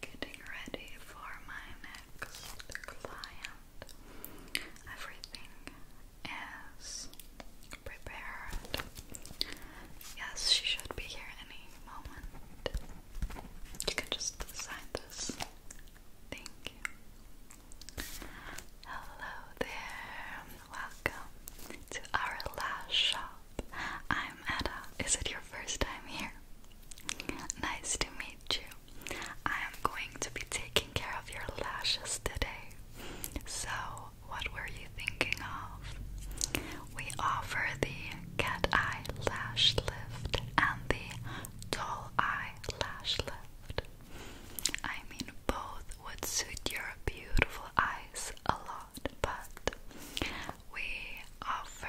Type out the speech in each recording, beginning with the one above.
Getting ready for my next client. Everything is prepared. Yes, she should be here any moment. You can just sign Thank you. Hello there. Welcome to our lash shop. I'm Ada. Is it your first time here? Nice to meet you. I am going to be taking care of your lashes today. So, what were you thinking of? We offer the cat eye lash lift and the doll eye lash lift. I mean, both would suit your beautiful eyes a lot but we offer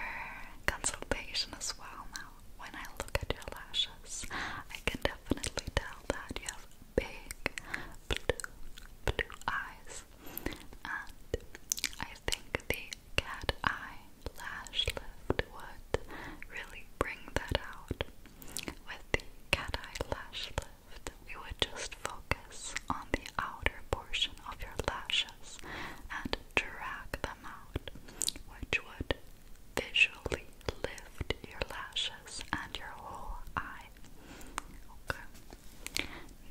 consultation as well now. When I look at your lashes, I can definitely tell that you have big blue, blue eyes, and I think the cat eye lash lift would really bring that out. With the cat eye lash lift, we would just focus on the outer portion of your lashes and drag them out, which would visually lift your lashes and your whole eye. Okay.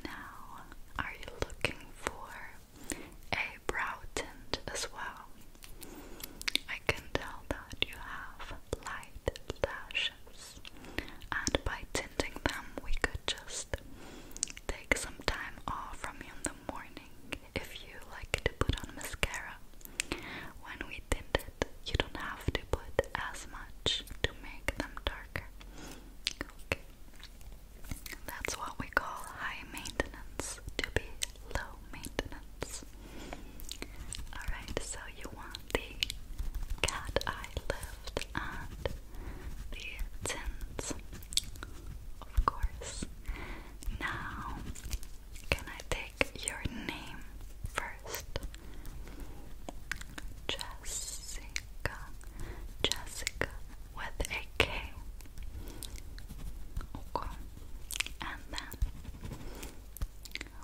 Now, are you looking for a brow tint as well? I can tell that you have light lashes, and by tinting them, we could just Take some time off from you in the morning if you like to put on mascara. When we tint it, you don't have to put as much to make them darker. Okay. That's what we call high maintenance to be low maintenance. Alright, so you want the cat eye lip and the tins, of course. Now, can I take your name first? Jessica, Jessica with a K. Okay. And then,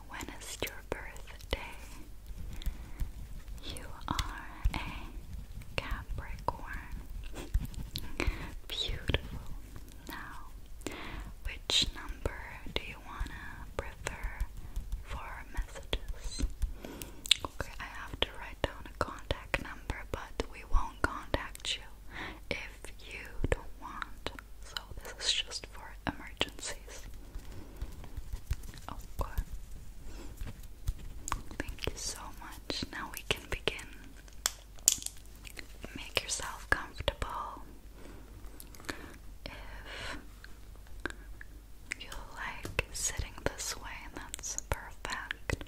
when is your birthday? the You are a Capricorn. Beautiful. Now, which number do you wanna prefer for messages? Okay, I have to write down a contact number, but we won't contact you if you don't want. So, this is just for emergencies. Oh god. Thank you so much. Now we can begin. Make yourself comfortable. If you like sitting this way, that's perfect.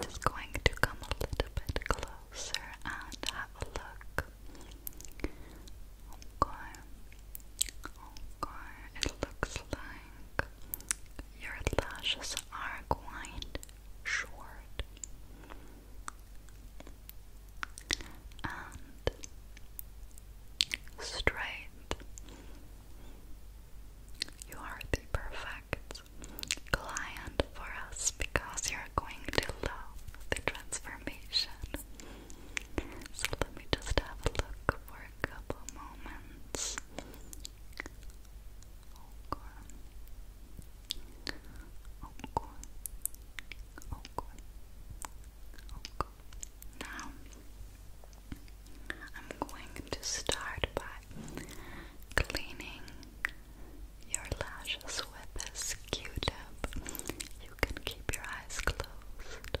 just going to come a little bit closer and have a look. Okay. Oh, Okay, it looks like your lashes are quite short. And straight. You are the perfect client for us because you're going to love the transformation. So let me just have a look a couple moments. Now, I'm going to start by cleaning your lashes with this tip You can keep your eyes closed.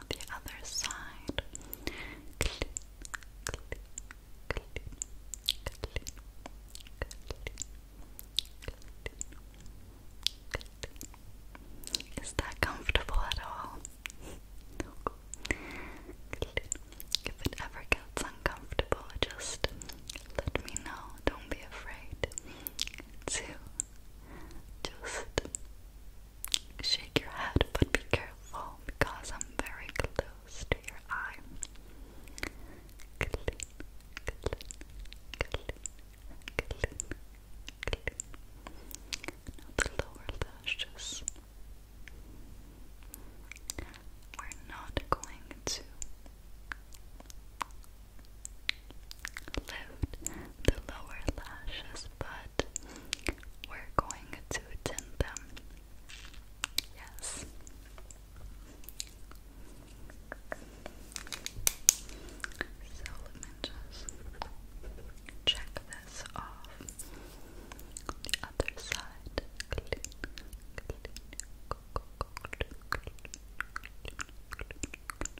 On the other side, Is that comfortable at all? If it ever gets uncomfortable, just let me know. Don't be afraid to just shake your head, but be careful because I'm very close to your eye. Clean, the lower lashes. We're not going to lift the lower lashes, but we're going to tint them. Yes. So let me check this off. The other side.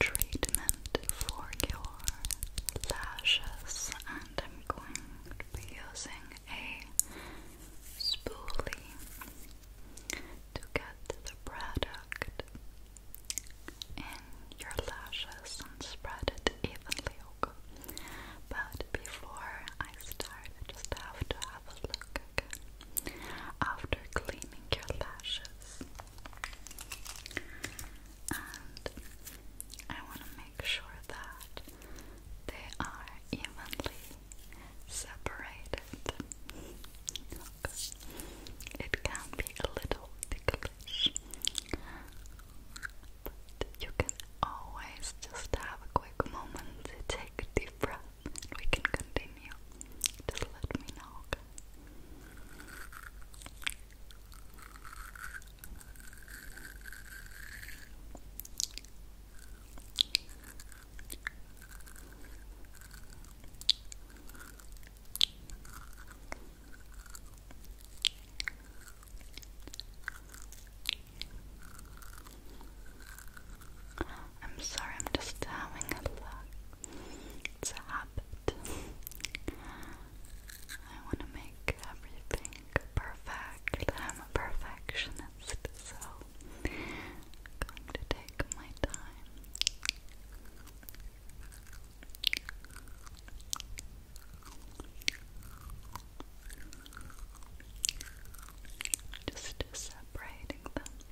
Treatment for your lashes, and I'm going to be using a spoolie to get the product in your lashes and spread it evenly. But before I start, I just have to have a look again after cleaning your lashes. And I want to make sure that they are evenly separated. It can be a little ticklish, but you can always just have a quick moment to take a deep breath we can continue. Just let me know, I'm sorry, I'm just having a look. It's a habit. I want to make everything perfect. I'm a perfectionist, so I'm going to take my time. Just separating them.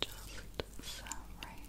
Just so right.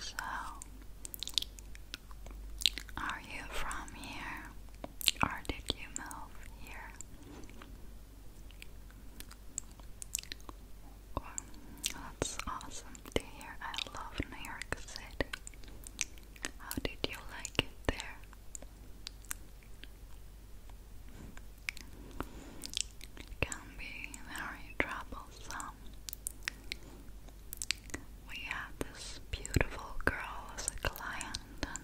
So, are you from here or did you move here? that's awesome to hear. I love New York City. How did you like it there? It can be very troublesome. We had this beautiful girl as a client, and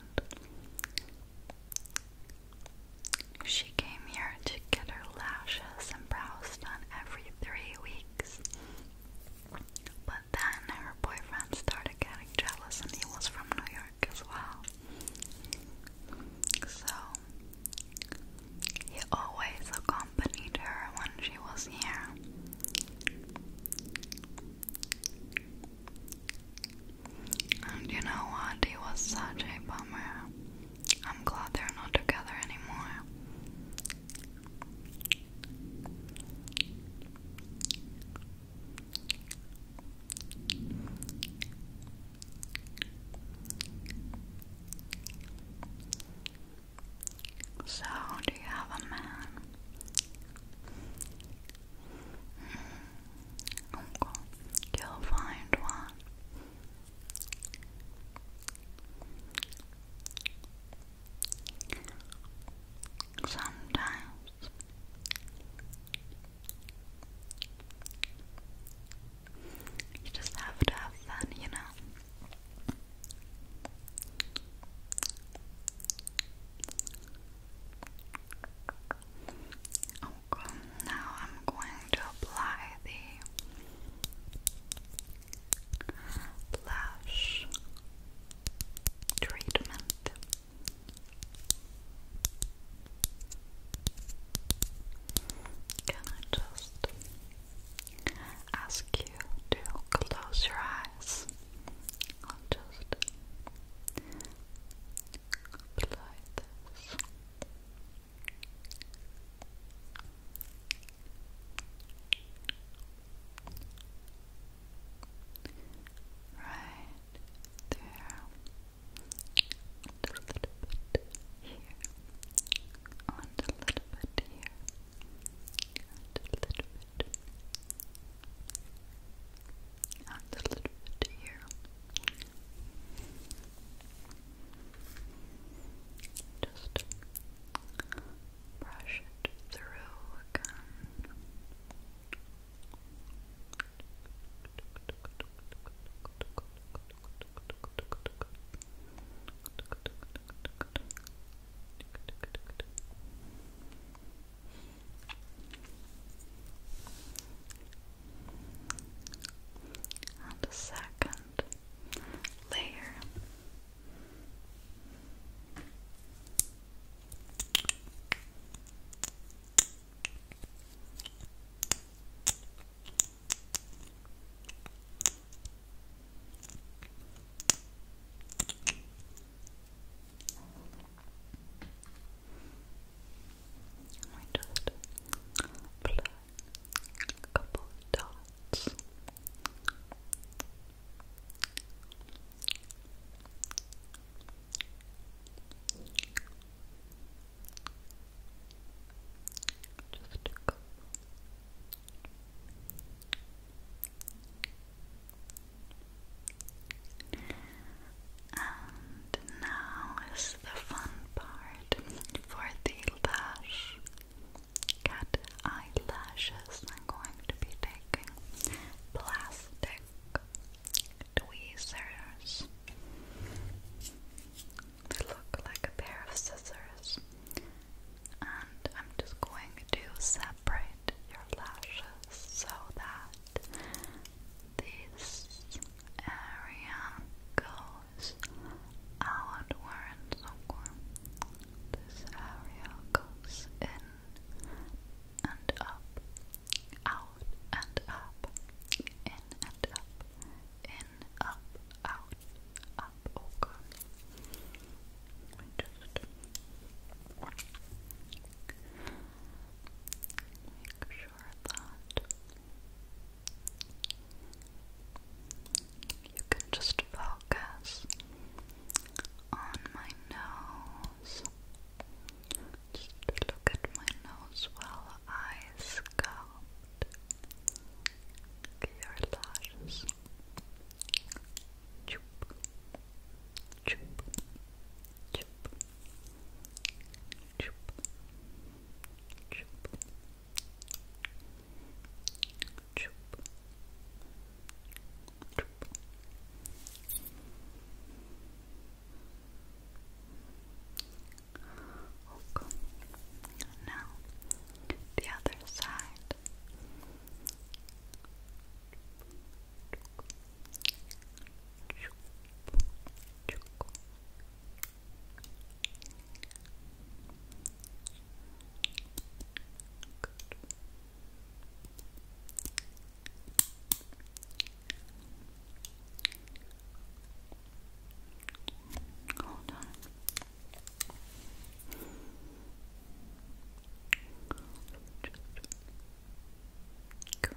she came here to get her lashes and brows done every three weeks. But then her boyfriend started getting jealous, and he was from New York as well. So he always accompanied her when she was here. And you know what? He was such a bummer. I'm glad they're not together anymore. So, do you have a man? Hmm. Okay, oh, you'll find one. Sometimes you just have to have fun, you know. Oh, now I'm going to apply the blush treatment. Can I just ask you to close your eyes? I'll just apply this right there, and a little bit here, and a little bit here, and a little bit here. Just brush it through again. And a second layer. I just apply a couple dots and now is the fun part for the lash cat eyelashes. I'm going to be taking plastic tweezers. They look like a pair of scissors. And I'm just going to separate your lashes so that this area goes outwards. This area goes inwards and up, out and up, in and up, in, up, out, up, okay. Oh just make sure that you can just focus on my nose. look at my nose while I scout your lashes. Chup, chup, chup, chup, chup, Choop. Choop. Now the other side. Hold on. Just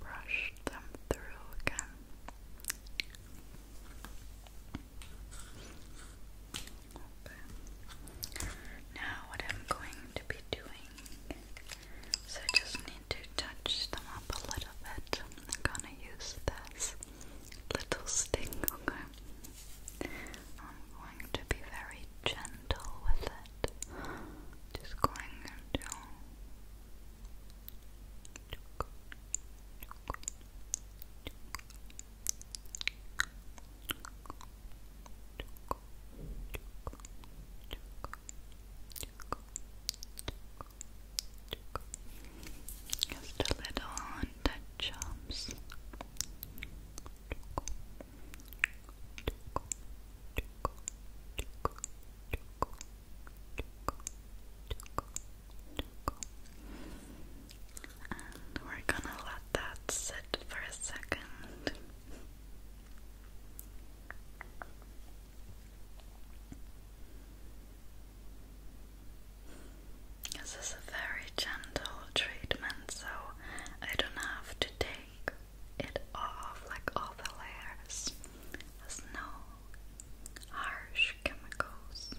Brush them through again. Now, what I'm going to be doing is I just need to touch them up a little bit. I'm going to use this little sting, okay? I'm going to be very gentle with it. Just going into just a little on the jumps. And we're gonna let that sit for a second. This is a very gentle treatment, so I don't have to take it off like all the layers. no harsh chemicals.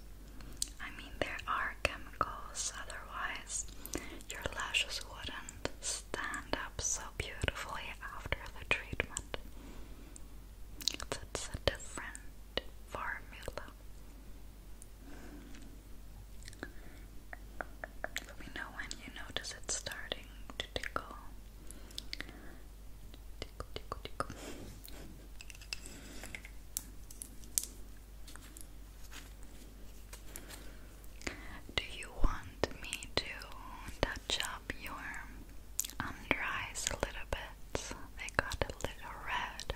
I mean, there are chemicals, otherwise, your lashes wouldn't stand up so beautifully after the treatment. It's a different formula. Let me know when you notice it starting to tickle. Do you want me to touch your under um, eyes a little bit. They got a little red.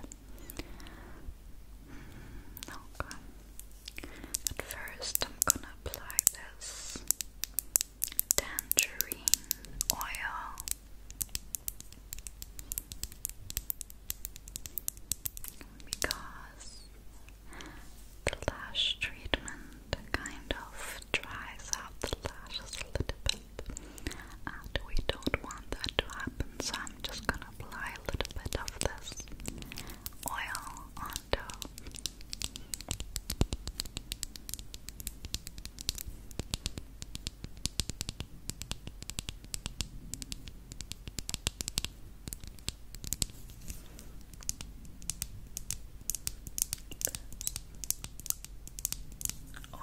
Mm, At first, I'm gonna apply this tangerine oil. Because the treatment kind of dries out the lashes a little bit and we don't want that to happen so I'm just gonna apply a little bit of this oil onto this oil.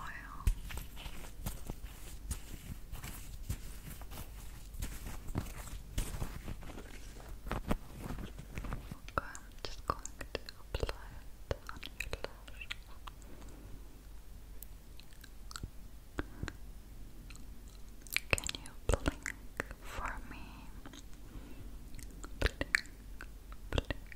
I'm just going to apply it on your lash. Can you blink for me? blink, blink,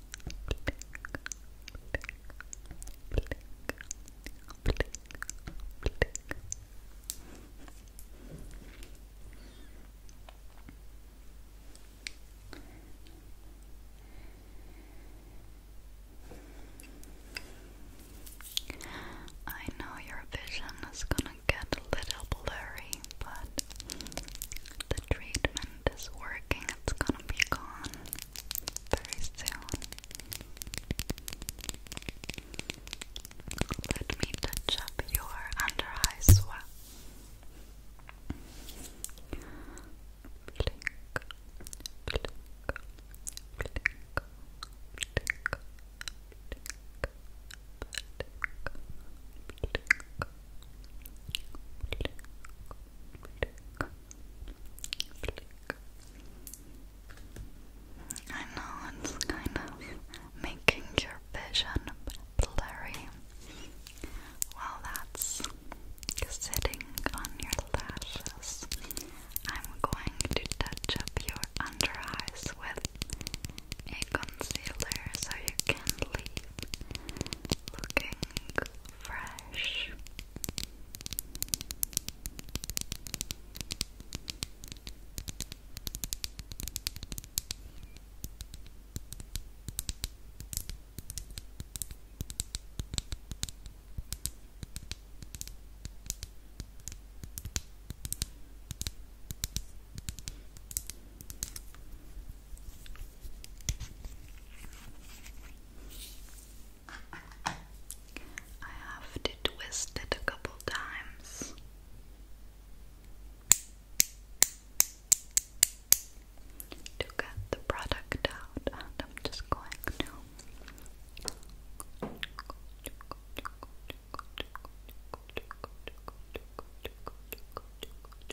I know your vision is going to get a little blurry, but treatment is working, it's gonna be gone very soon. Let me touch up your under eye swell. I know it's kind of making your vision blurry. Well, that's sitting on your lashes. I'm going to touch up your under eyes with a concealer so you can leave looking fresh. I have to twist it a couple times. To get the product out, and I'm just going to.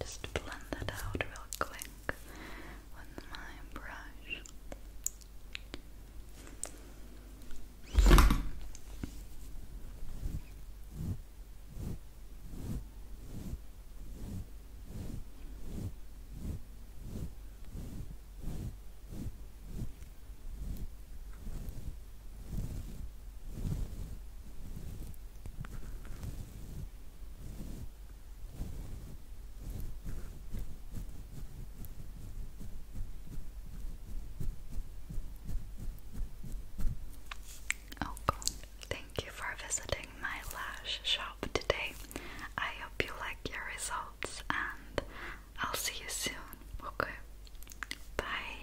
Just blend that out real quick with my brush. Oh, cool. Thank you for visiting my lash shop today. I hope you like your results, and I'll see you soon. Okay, bye.